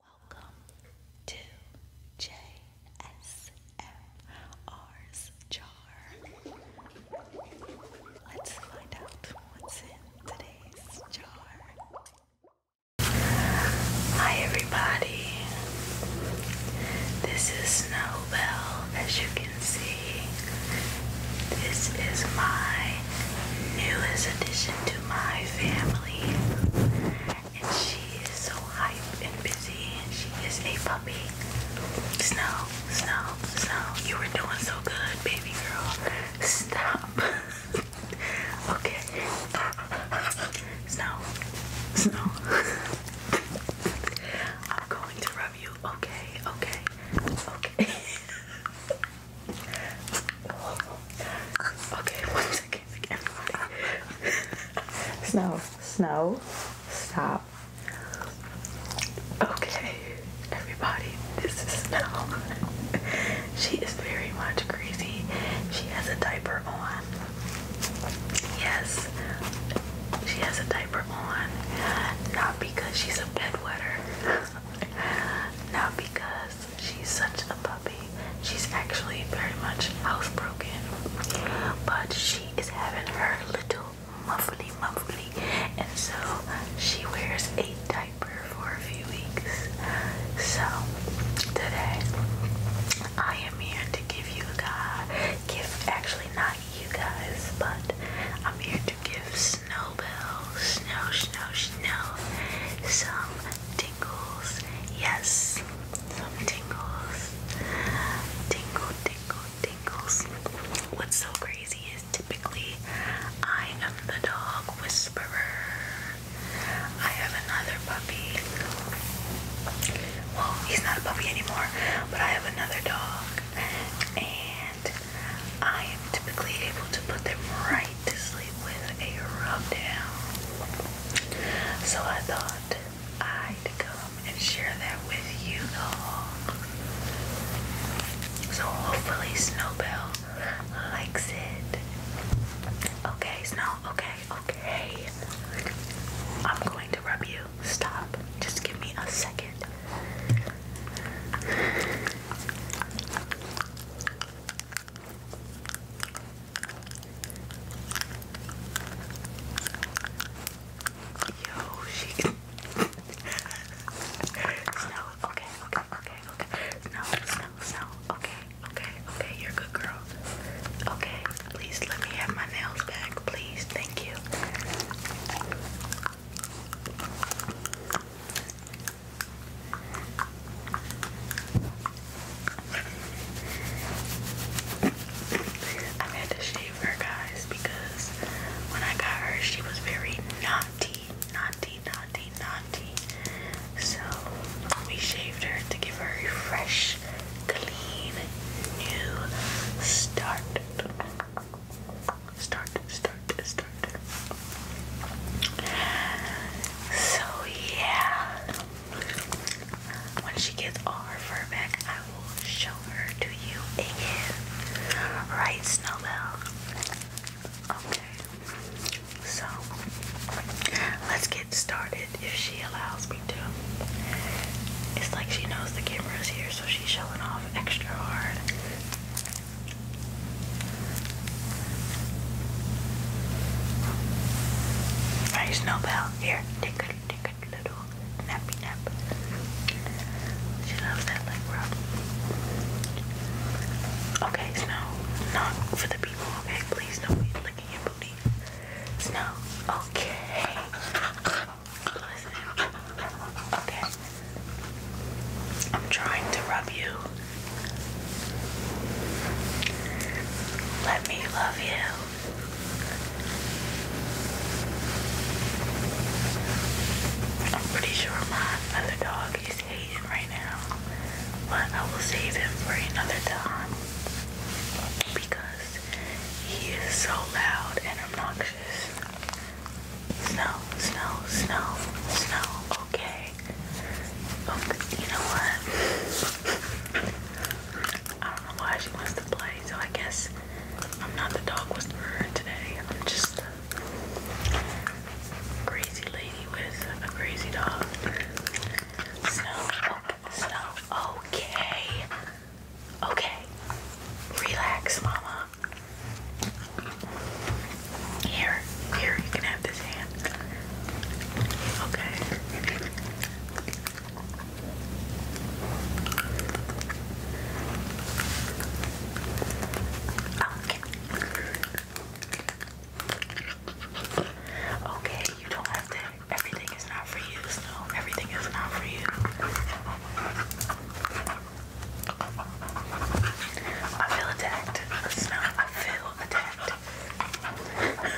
Welcome to JSMR's jar. Let's find out what's in today's jar. Hi, everybody. This is Snowbell, as you can see. This is my newest addition to my family and she is so hype and busy. And she is a puppy. Snow, snow, snow. You were doing so good, baby girl. Stop. okay. Snow, snow. I'm going to rub you. Okay, okay, okay. Okay, one second. Everybody. Snow, snow, stop. Okay, everybody, this is Snow. she is very much crazy. She has a diaper on. Yes, she has a diaper on. Not because she's a bed wetter. not because She's such a puppy. She's actually very much housebroken, but she is having her little muffly muffly, and so she wears a diaper for a few weeks. So today I am here to give you guys, gift. actually not you guys, but I'm here to to give Snowbell, Snow, Snow, Snow some tingles. Yes, some tingles. Tingle, tingle, tingles. What's so crazy is typically I am the dog whisperer. I have another puppy. Well, he's not a puppy anymore, but I have another dog. And I am typically able to put them right to sleep with a rubdown, So I thought I'd come and share that with you all. So hopefully Snowbell likes it. Okay, Snow, okay, okay. I'm going to rub you. Stop. Just give me a second. Yo, she. Okay, okay, okay, okay. Snow, snow, snow. Okay, okay, okay. You're a good girl. Okay, please let me have my nails back, please. Thank you. I had to shave her, guys, because when I got her, she was very naughty, naughty, naughty, naughty. So we shaved her to give her a fresh, clean, new start. Start, start, start. So yeah, when she gets all her fur back, I will show her to you again. Right, Snowbell? Okay. So let's get started if she allows me to. It's like she knows the camera is here, so she she's showing off extra hard. Snowbell, here, take a, little nappy nap. She loves that leg rub. Okay, Snow, not for the people, okay? Please don't be licking your booty. Snow, okay. I'm trying to rub you. Let me love you. I'm pretty sure my other dog is hating right now, but I will save him for another time because he is so loud and obnoxious. Snow, snow, snow, snow. Okay. Okay, you know what? I don't know why she wants to play, so I guess I'm not the dog whisperer today. I'm just a crazy lady with a crazy dog. Snow, snow, okay. Okay. Relax, mama. Here, here, you can have this hand. Okay. Okay. Okay, you don't have to everything is not for you, so everything is not for you. I feel attacked. Snow, I feel attacked.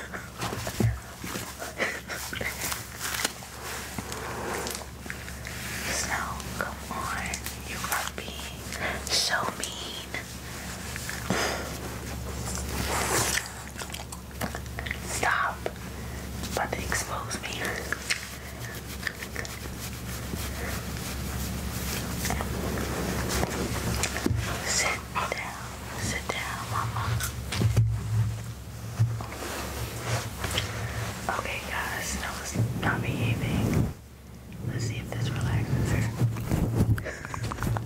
Snow, come on. You are being so mean. Stop. But about to expose me. Sit down. Sit down, mama. Okay, guys. No, not behaving. Let's see if this relaxes her.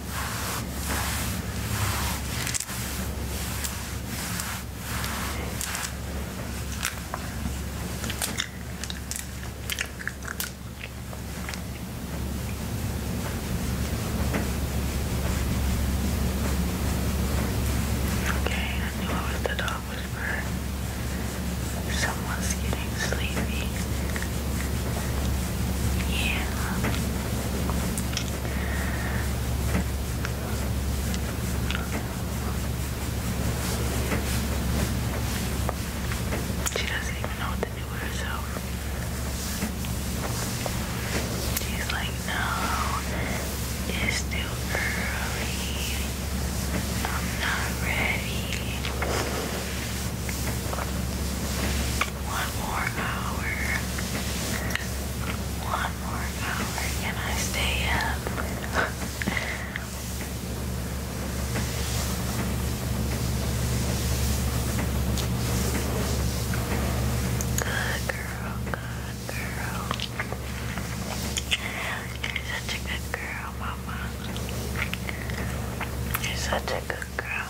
Okay, I knew I was the dog whisperer. Someone's getting sleepy. Yeah. She doesn't even know what to do with herself. She's like, no, it's still early. I'm not ready. One more hour. One more hour. Can I stay up? girl. Good girl. You're such a good girl, Mama. You're such a good girl.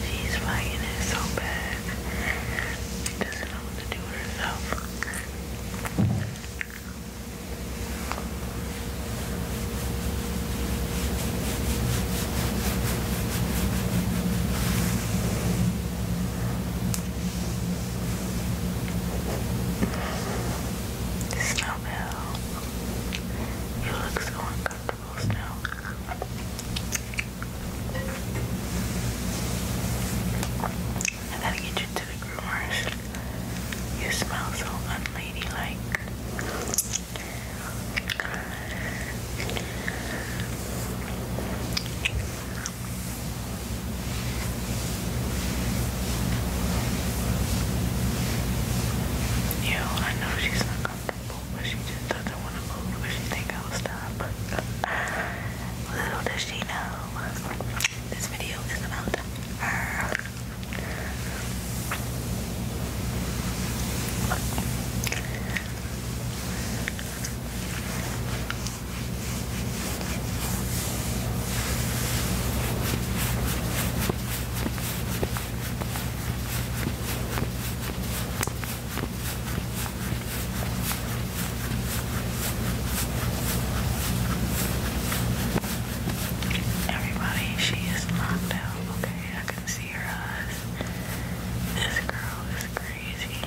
She's fighting it so bad. doesn't know what to do herself. It's you look so uncomfortable, Snow. I gotta get you to the groomers. You smell so unladylike. You I know she's not comfortable, but she just doesn't want to move because she think I will stop. Little does she know, this video is about her. Everybody, she is knocked out. Okay, I can see her eyes. This girl is crazy.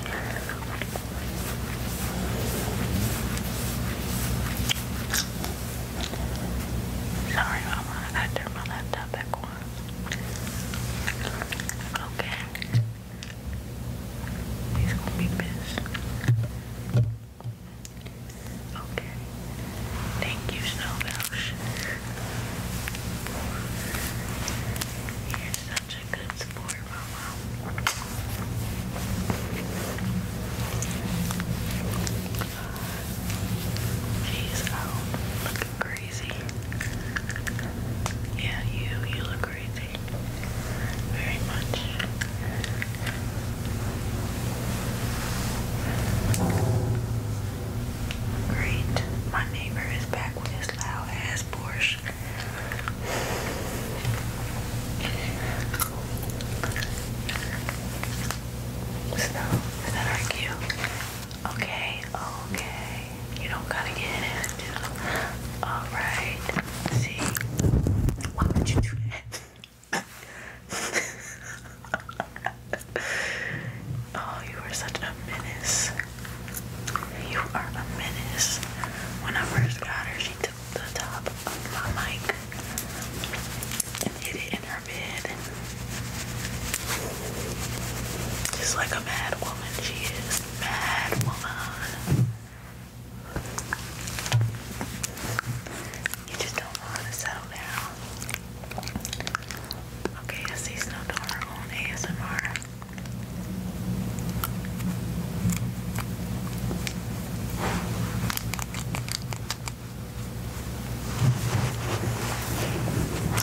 Sorry, Mama, I got my laptop back on. Okay. He's gonna be pissed. Okay. Thank you, Snowbelch. You're such a good sport. She's looking crazy. Yeah, you, you look crazy. Very much. Great. My neighbor is back with his loud ass Porsche. So, that our cue? Okay, okay. You don't gotta get it Alright, see. Why would you do that? oh, you are such a menace. You are a menace. When I first got her, she the top of my mic hit it in her bed. Just like a mad woman, she is mad woman. You just don't want to settle down. Okay, I see Snowdorn on ASMR.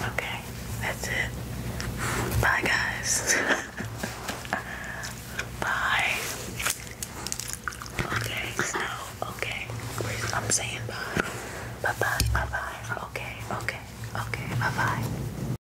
Okay, that's it. Bye, guys. bye. Okay, so, okay. I'm saying bye. Bye bye, bye bye. Okay, okay, okay, bye bye.